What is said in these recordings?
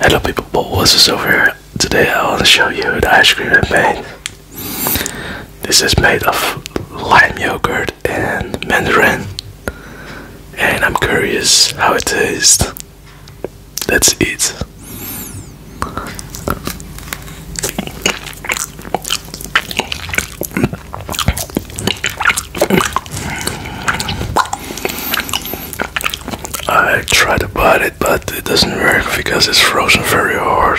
Hello people, What's Wizards over here. Today I want to show you the ice cream I made. This is made of lime yogurt and mandarin. And I'm curious how it tastes. Let's eat. I tried to bite it, but it doesn't work because it's frozen very hard.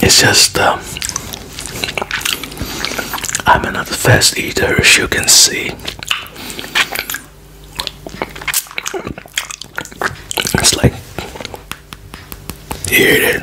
It's just uh, I'm not a fast eater, as you can see. It's like here it is.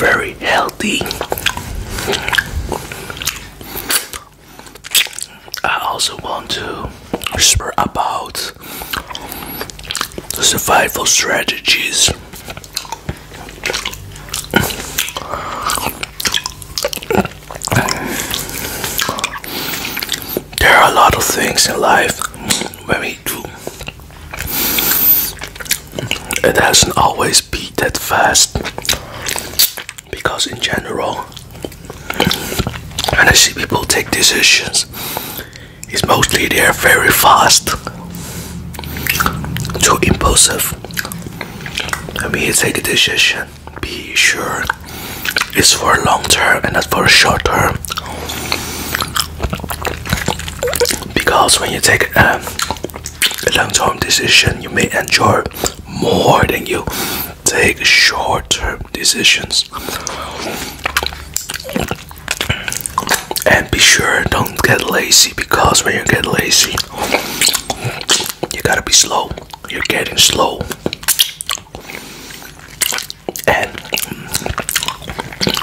very healthy. I also want to whisper about survival strategies. There are a lot of things in life Very true. It hasn't always been that fast because, in general, when I see people take decisions, it's mostly they're very fast, too impulsive. I mean, you take a decision, be sure it's for a long term and not for a short term because when you take um, a long-term decision you may enjoy more than you take short-term decisions and be sure don't get lazy because when you get lazy you gotta be slow you're getting slow and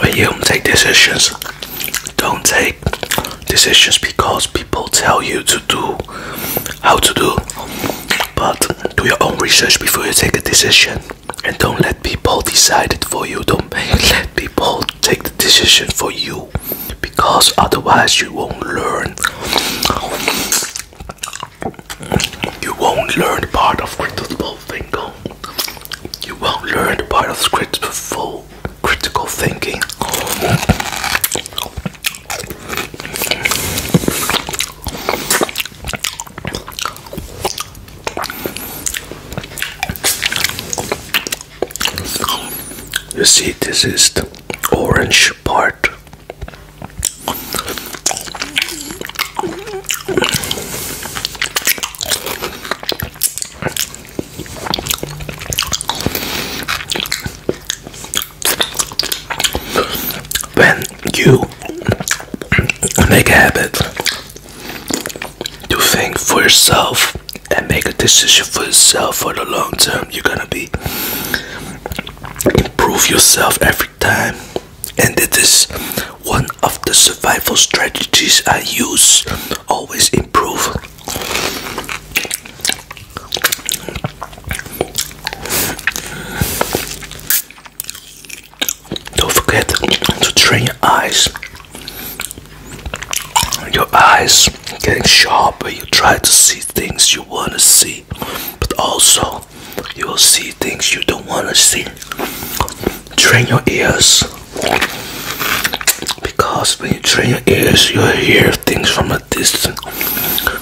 when you take decisions, don't take decisions because people tell you to do how to do, but do your own research before you take a decision and don't let people decide it for you. Don't let people take the decision for you because otherwise you won't learn. You won't learn part of critical thinking you won't learn the part of critical, critical thinking. You see, this is the orange part. When you make a habit to think for yourself and make a decision for yourself for the long term, you're gonna be improve yourself every time, and it is one of the survival strategies I use always improve. Don't forget to train your eyes. Your eyes getting sharper, you try to see things you want to see, but also you will see things you don't want to see. Train your ears. Because when you train your ears, you hear things from a distance.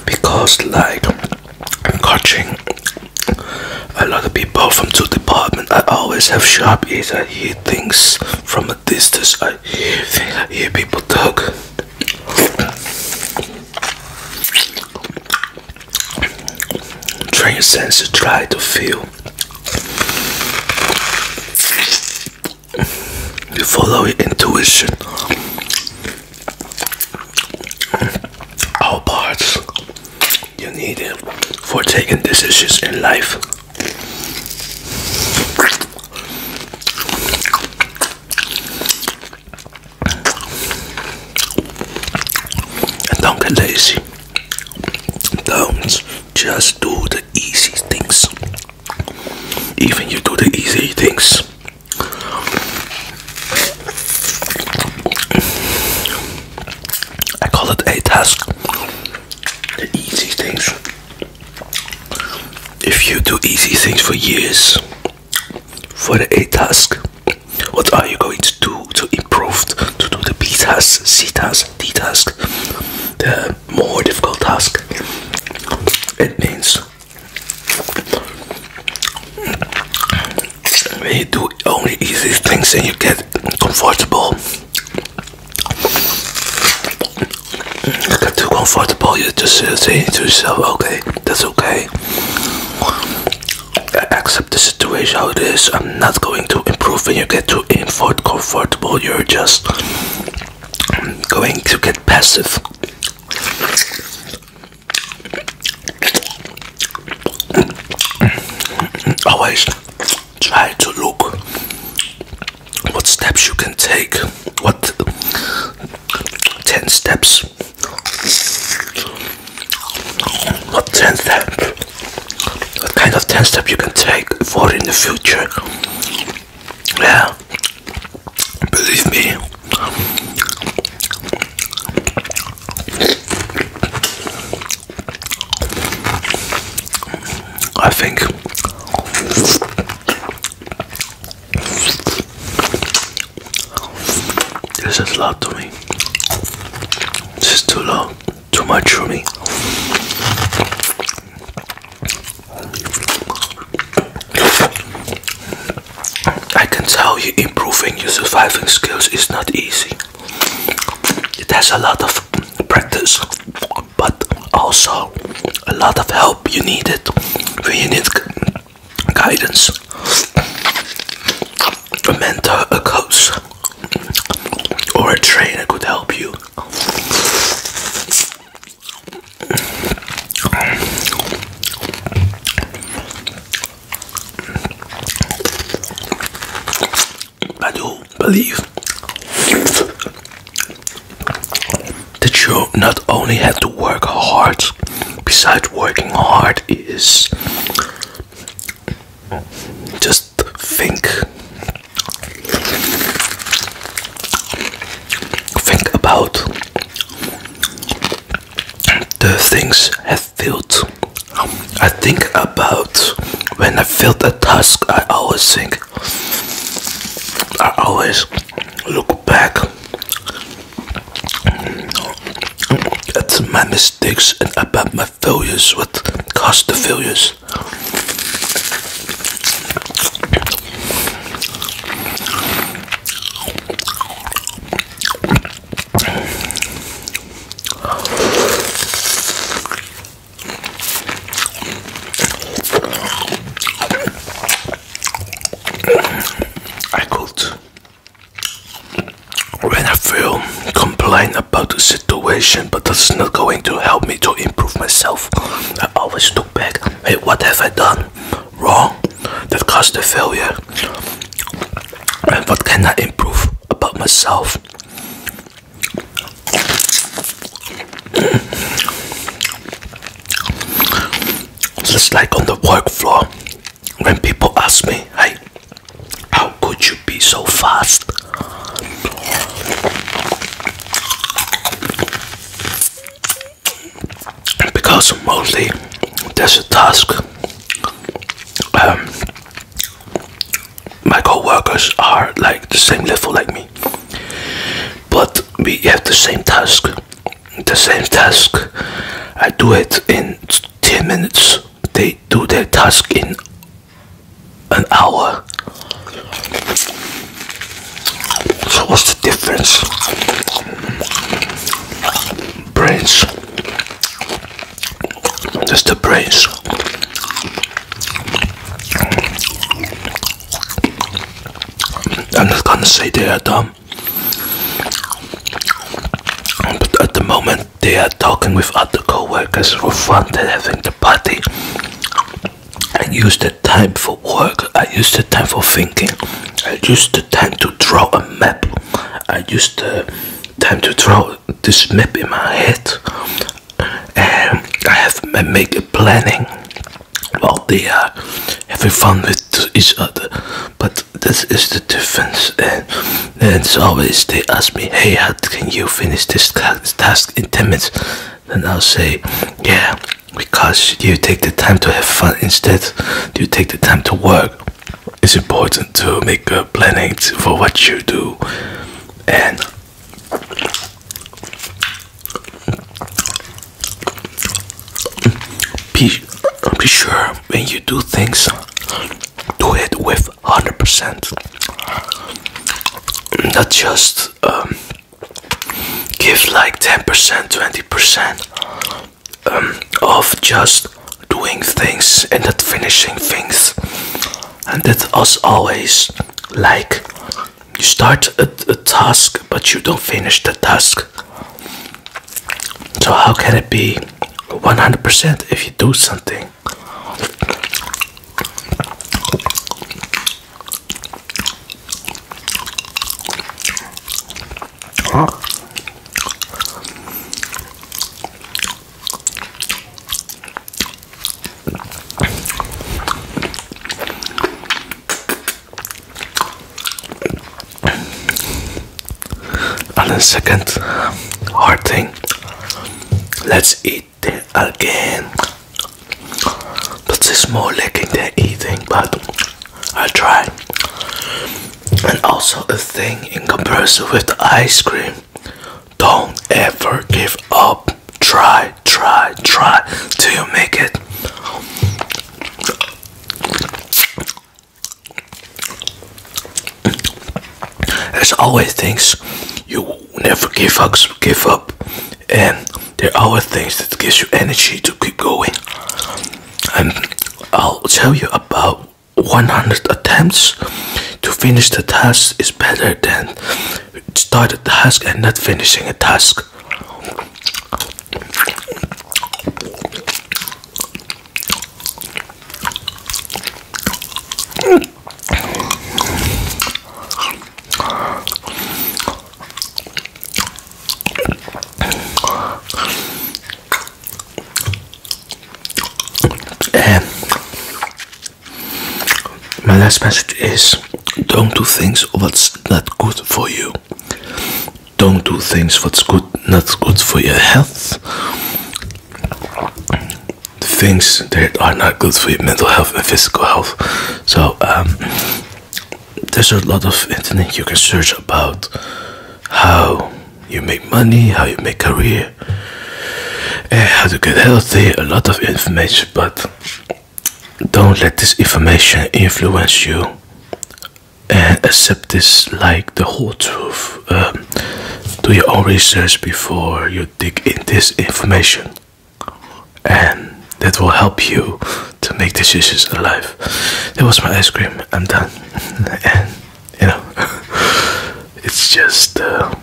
Because, like, I'm coaching a lot of people from two departments, I always have sharp ears. I hear things from a distance. I hear, I hear people talk. Train your senses. Try to feel you follow your intuition. All parts you need for taking decisions in life. And don't get lazy. Don't just do the easy things. Even you do the easy things. I call it a task. The easy things. If you do easy things for years, for the a task, what are you going to do to improve? To do the B task, C task, D task, the more difficult task? It means when you do only easy things and you get comfortable. You get too comfortable, you just say to yourself, okay, that's okay accept the situation how it is. I'm not going to improve when you get too comfortable. You're just going to get passive. Always try to look what steps you can take. What 10 steps what 10 step? What kind of 10 step you can take for in the future? Yeah, believe me. I think this is love to me. This is too long, too much for me. I can tell you improving your surviving skills is not easy. It has a lot of practice, but also a lot of help you need it We need guidance a mentor, a coach, or a trainer could help you. I do believe that you not only have to work hard, besides working hard, is just think. Think about the things I have felt. I think about when I felt a task, I always think, I always look back about my mistakes and about my failures, what cost the failures. I could when I feel complain about the situation, but that's not going to help me to improve myself, I always look back. Hey, what have I done wrong that caused the failure? And what can I improve about myself? Just like on the work floor, when people ask me, hey, how could you be so fast? Because mostly there's a task. Um, my coworkers are like the same level like me, but we have the same task. The same task. I do it in ten minutes they do their task in an hour. So, what's the difference? Brains, just the brains. I'm not gonna say they are dumb, um, but at the moment, they are talking with other coworkers workers for fun. They're having the party. I use the time for work. I use the time for thinking. I use the time to draw a map. I use the time to draw this map in my head. And I have I make a planning while they are having fun with each other. But this is the difference and and always they ask me hey how can you finish this task in 10 minutes And i'll say yeah because you take the time to have fun instead you take the time to work it's important to make a planning for what you do and be, be sure when you do things, do it with 100%. Not just um, give like 10%, 20% um, of just doing things and not finishing things. And that us always like you start a task but you don't finish the task so how can it be 100% if you do something? and the second hard thing let's eat again but it's more licking than eating but I try and also a thing in comparison with ice cream don't ever give up try try try till you make it there's always things you never give up, give up, and there are always things that gives you energy to keep going. And I'll tell you about 100 attempts to finish the task is better than start a task and not finishing a task. Um, my last message is don't do things what's not good for you don't do things what's good not good for your health things that are not good for your mental health and physical health so um, there's a lot of internet you can search about how you make money how you make career how to get healthy a lot of information but don't let this information influence you and uh, accept this like the whole truth. Um, do your own research before you dig in this information, and that will help you to make decisions in life. That was my ice cream. I'm done, and you know, it's just uh,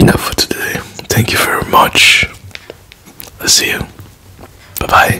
enough for today. Thank you very much. I'll see you. Bye bye.